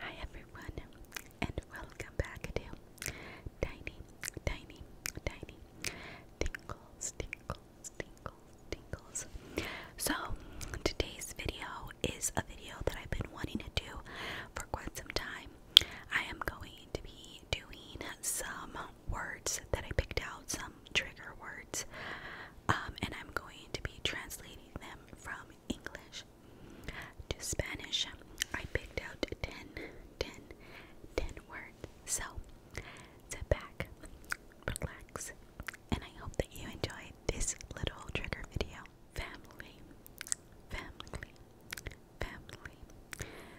Hi everyone, and welcome back to Tiny, Tiny, Tiny Tinkles, Tinkles, Tinkles, So, today's video is a video that I've been wanting to do for quite some time. I am going to be doing some words that I picked out, some trigger words, um, and I'm going to be translating them from English to Spanish. I picked out 10, 10, 10 words. So sit back, relax, and I hope that you enjoyed this little trigger video. Family, family, family,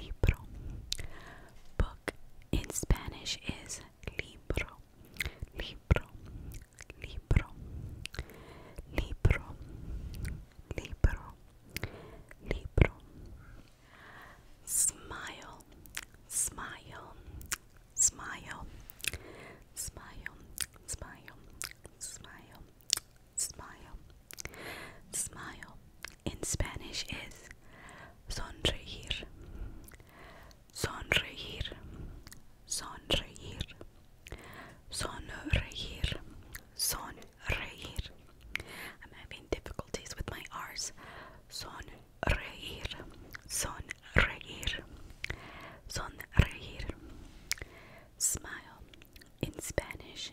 Libro. Book in Spanish is libro. Libro. Libro. Libro. Libro. Libro. Smile. Smile. Smile. Smile. Smile. Smile smile, smile in Spanish is sonreír, sonreír, sonreír, sonreír, sonreír. I'm having difficulties with my R's. Sonreír, sonreír, sonreír. Smile in Spanish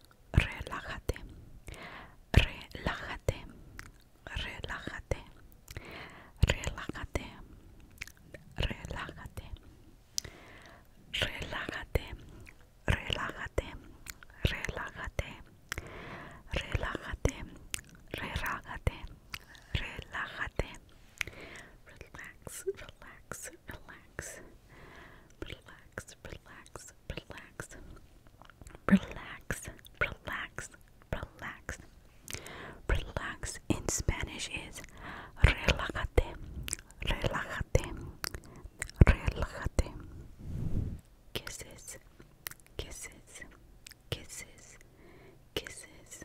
relájate, relájate, relájate, relájate, relájate, relájate, relájate, relájate, relájate, relájate, relájate, relax, relax, relax. relax, relax, relax, relax, relax, relax, relax. in Spanish is relájate, relájate, relájate. Kisses, kisses, kisses, kisses,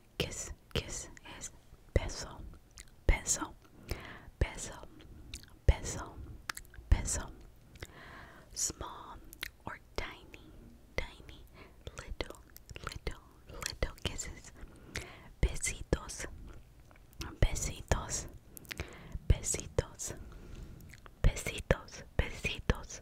kiss, kiss es beso, beso, beso, beso, beso. Small or tiny, tiny, little, little, little kisses. Besitos, besitos, besitos, besitos, besitos,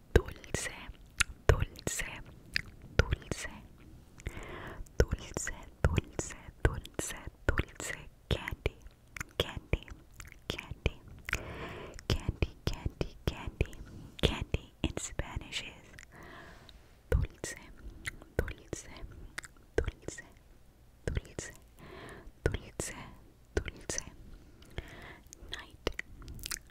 dulce, dulce, dulce, dulce, dulce, dulce, dulce, candy, candy, candy, candy, candy, candy, candy in Spanish is dulce, dulce, dulce, dulce, dulce, dulce, night,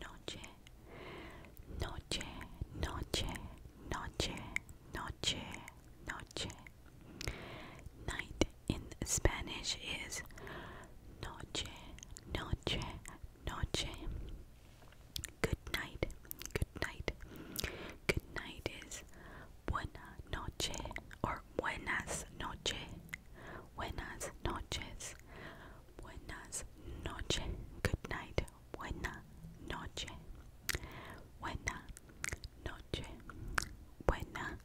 noche, noche, noche, noche, noche, noche. Night in Spanish is noche, noche, noche. Good night, good night. Good night is buena noche or buenas noche. Buenas noches. Buenas noches. Good night. Buena noche. Buena noche. Buena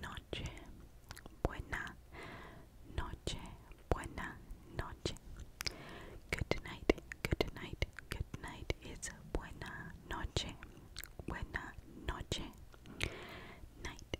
noche. Buena noche. Buena noche. Good night. Good night. Good night. It's buena noche. Buena noche. Night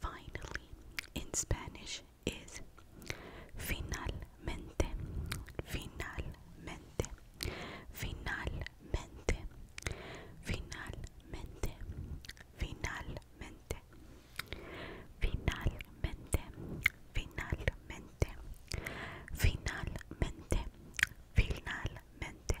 finally in Spanish is finalmente, finalmente, finalmente, finalmente, finalmente, finalmente, finalmente, finalmente, finalmente.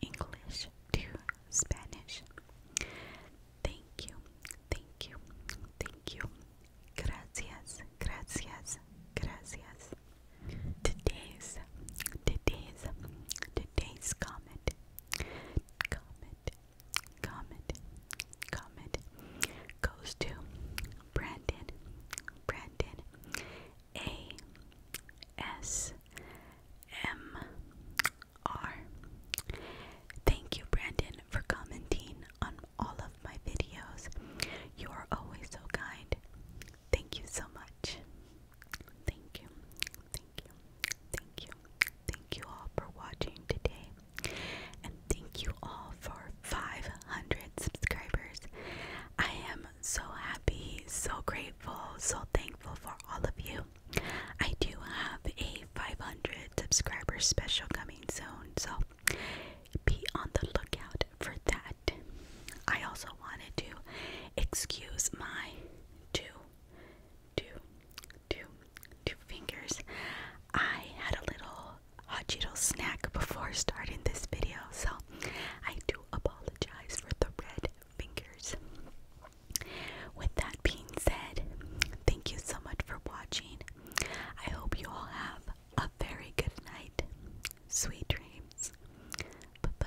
English to Spanish. Thank you, thank you, thank you. Gracias, gracias, gracias. Today's, today's, today's comment, comment, comment, comment goes to Brandon, Brandon, A S M R. Thank you, Brandon, for commenting on all of my videos. You are always so kind. Thank you so much. Thank you, thank you, thank you, thank you all for watching today, and thank you all for 500 subscribers. I am so happy, so grateful so thankful for all of you. I do have a 500 subscriber special coming soon, so be on the lookout for that. I also wanted to excuse my two, two, two, two fingers. I had a little hot Cheeto snack before starting this video, so I do apologize for the red fingers. With that being said, thank you so much for watching. I hope you all have a very good night. Sweet dreams. Bye bye.